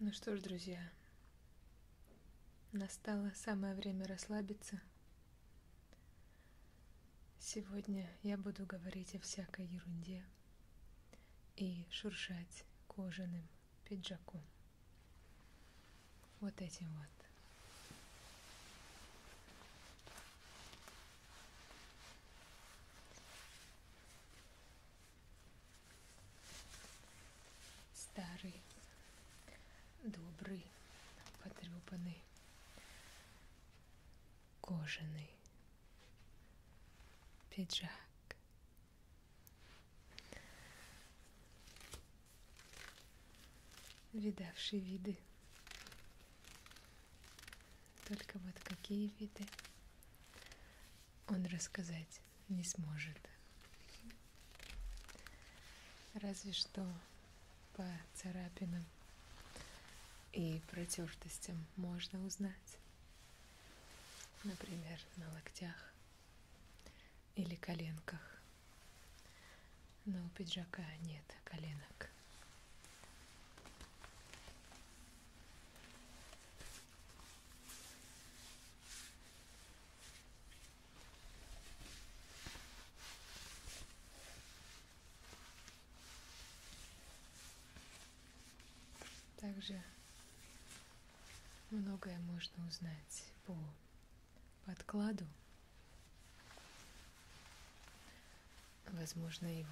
Ну что ж, друзья, настало самое время расслабиться. Сегодня я буду говорить о всякой ерунде и шуршать кожаным пиджаком. Вот этим вот. Старый, добрый, потрепанный, кожаный пиджак. Видавший виды. Только вот какие виды он рассказать не сможет. Разве что по царапинам и протертостям можно узнать. Например, на локтях или коленках. Но у пиджака нет коленок. Также многое можно узнать по подкладу. Возможно, его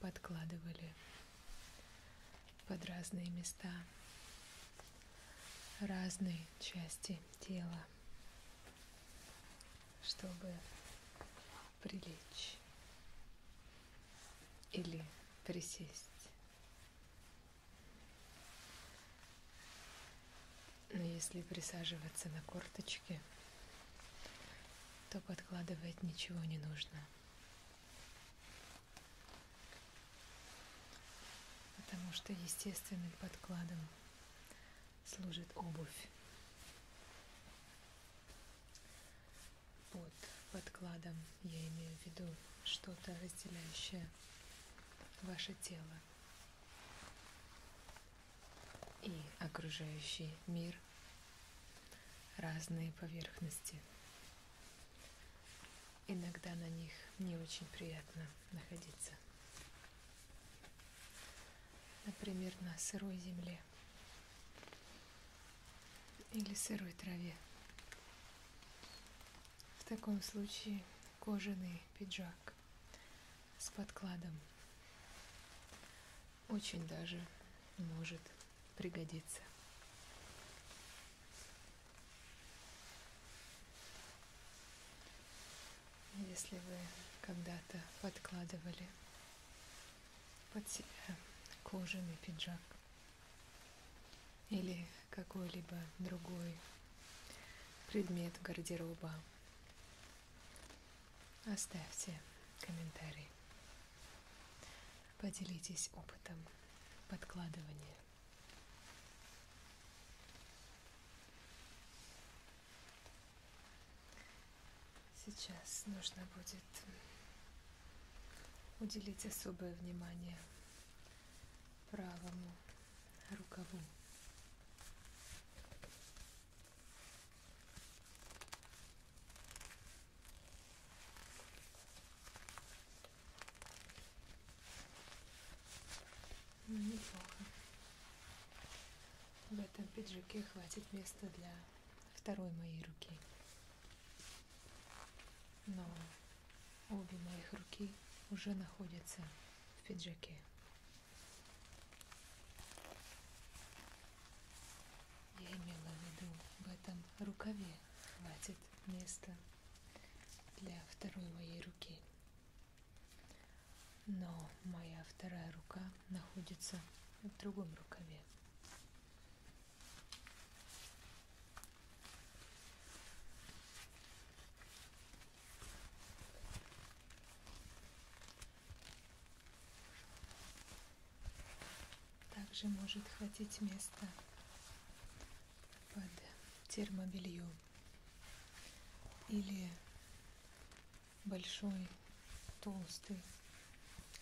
подкладывали под разные места, разные части тела, чтобы прилечь или присесть. Но если присаживаться на корточки, то подкладывать ничего не нужно потому что естественным подкладом служит обувь. Под подкладом я имею в виду что-то разделяющее ваше тело и окружающий мир, разные поверхности. Иногда на них не очень приятно находиться. Например, на сырой земле или сырой траве. В таком случае кожаный пиджак с подкладом очень даже может пригодится. Если вы когда-то подкладывали под себя кожаный пиджак или какой-либо другой предмет гардероба, оставьте комментарий. Поделитесь опытом подкладывания. Сейчас нужно будет уделить особое внимание правому рукаву. Ну, неплохо. В этом пиджаке хватит места для второй моей руки. Но обе моих руки уже находятся в пиджаке. Я имела в виду в этом рукаве хватит место для второй моей руки. Но моя вторая рука находится в другом рукаве. Также может хватить места под термобелье или большой толстый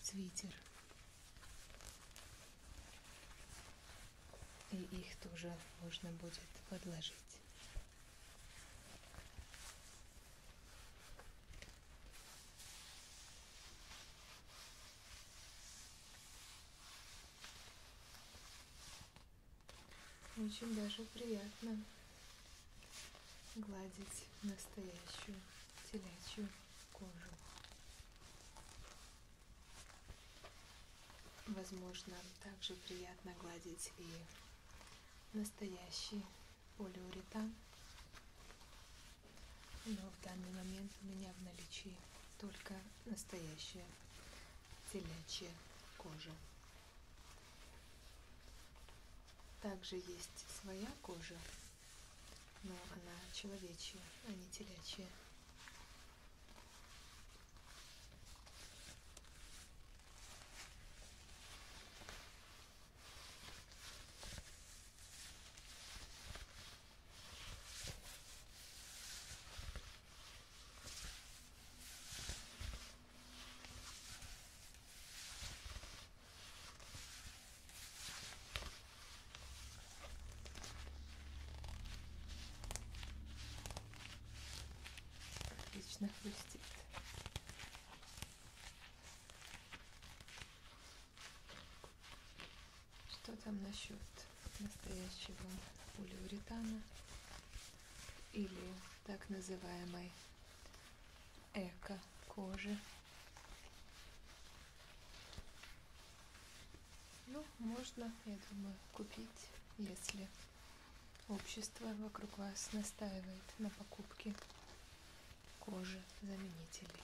свитер. И их тоже можно будет подложить. Очень даже приятно гладить настоящую телячью кожу. Возможно, также приятно гладить и настоящий полиуретан но в данный момент у меня в наличии только настоящая телячья кожа. Также есть своя кожа, но она человечья, а не телячья. Отлично хрустит. Что там насчет настоящего полиуретана или так называемой эко-кожи? Ну, можно, я думаю, купить, если общество вокруг вас настаивает на покупке кожи заменителей.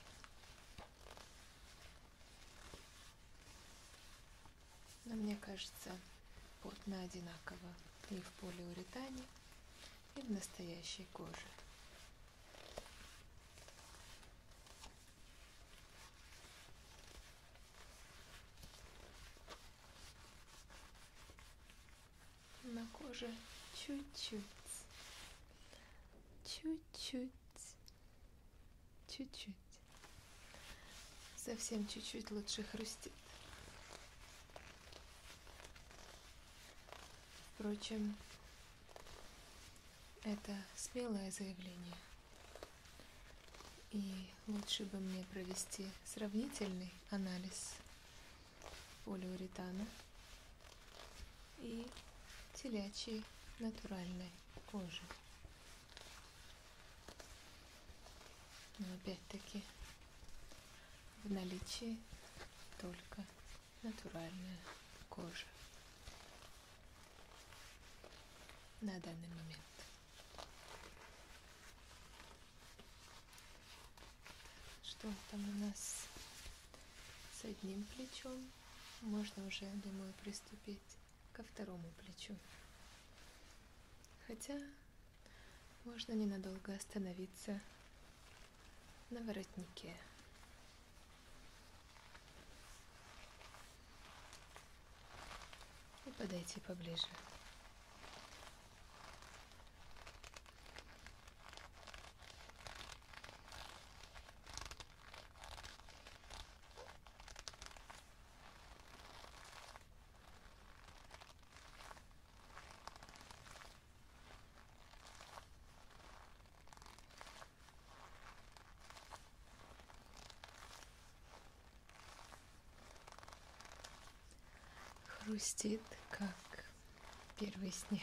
Но мне кажется, плотно одинаково и в полиуретане, и в настоящей коже. На коже чуть-чуть, чуть-чуть Чуть-чуть. Совсем чуть-чуть лучше хрустит. Впрочем, это смелое заявление. И лучше бы мне провести сравнительный анализ полиуретана и телячьей натуральной кожи. Но опять-таки в наличии только натуральная кожа на данный момент. Что там у нас с одним плечом? можно уже, думаю, приступить ко второму плечу. Хотя можно ненадолго остановиться на воротнике. И подойти поближе. Хрустит, как первый снег.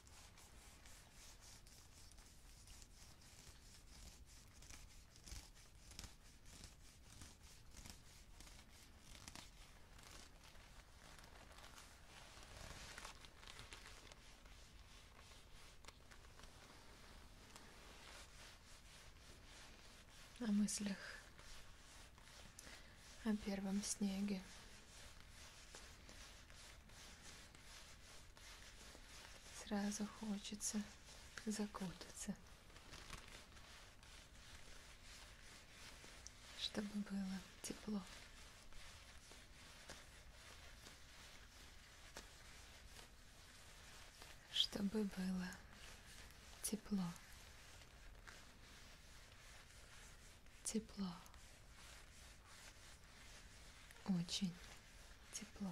о мыслях о первом снеге Сразу хочется закутаться, чтобы было тепло. Чтобы было тепло. Тепло. Очень тепло.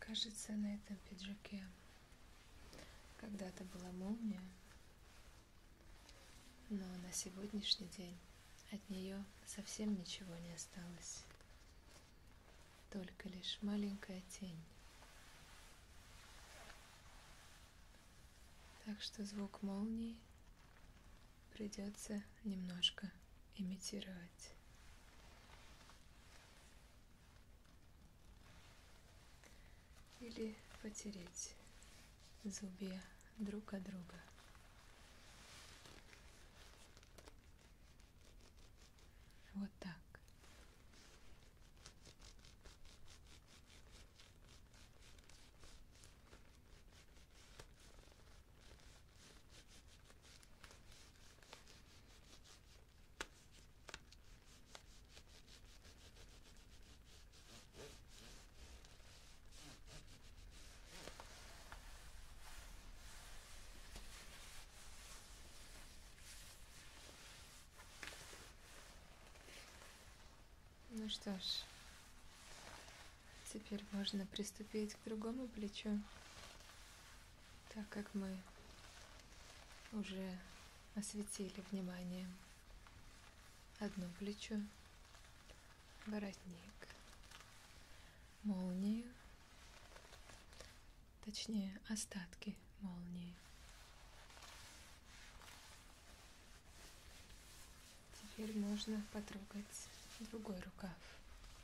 Кажется, на этом пиджаке когда-то была молния, но на сегодняшний день от нее совсем ничего не осталось. Только лишь маленькая тень. Так что звук молнии придется немножко имитировать или потереть зубья друг от друга. Вот так. Ну что ж, теперь можно приступить к другому плечу так как мы уже осветили вниманием одно плечо, воротник, молнию, точнее остатки молнии. Теперь можно потрогать другой рукав.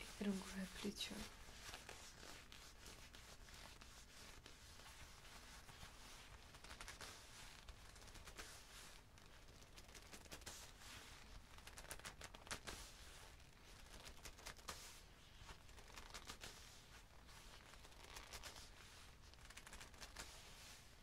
И другое плечо.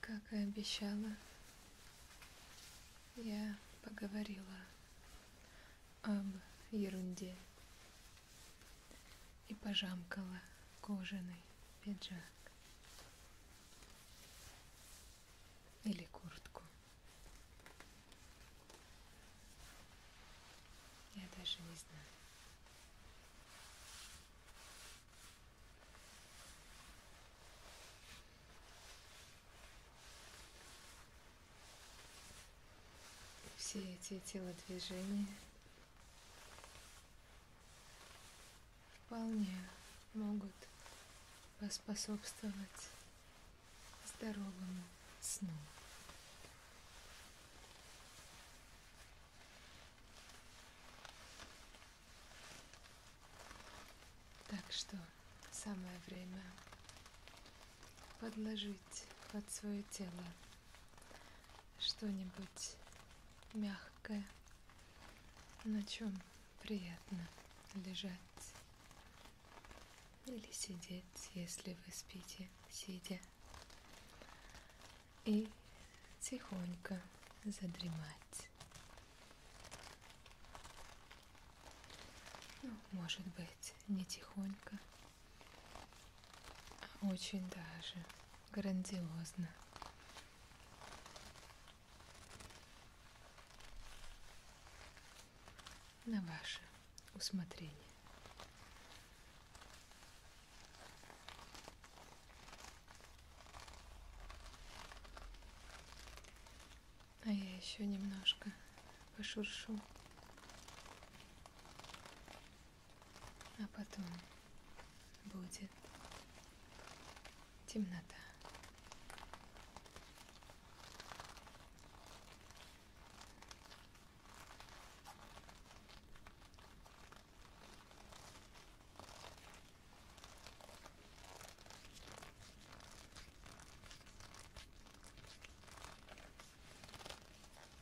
Как и обещала, я поговорила об ерунде и пожамкала кожаный пиджак или куртку. Я даже не знаю все эти телодвижения вполне могут поспособствовать здоровому сну. Так что самое время подложить под свое тело что-нибудь мягкое, на чем приятно лежать или сидеть, если вы спите, сидя, и тихонько задремать. Ну, может быть, не тихонько, очень даже грандиозно. На ваше усмотрение. А я еще немножко пошуршу. А потом будет темнота.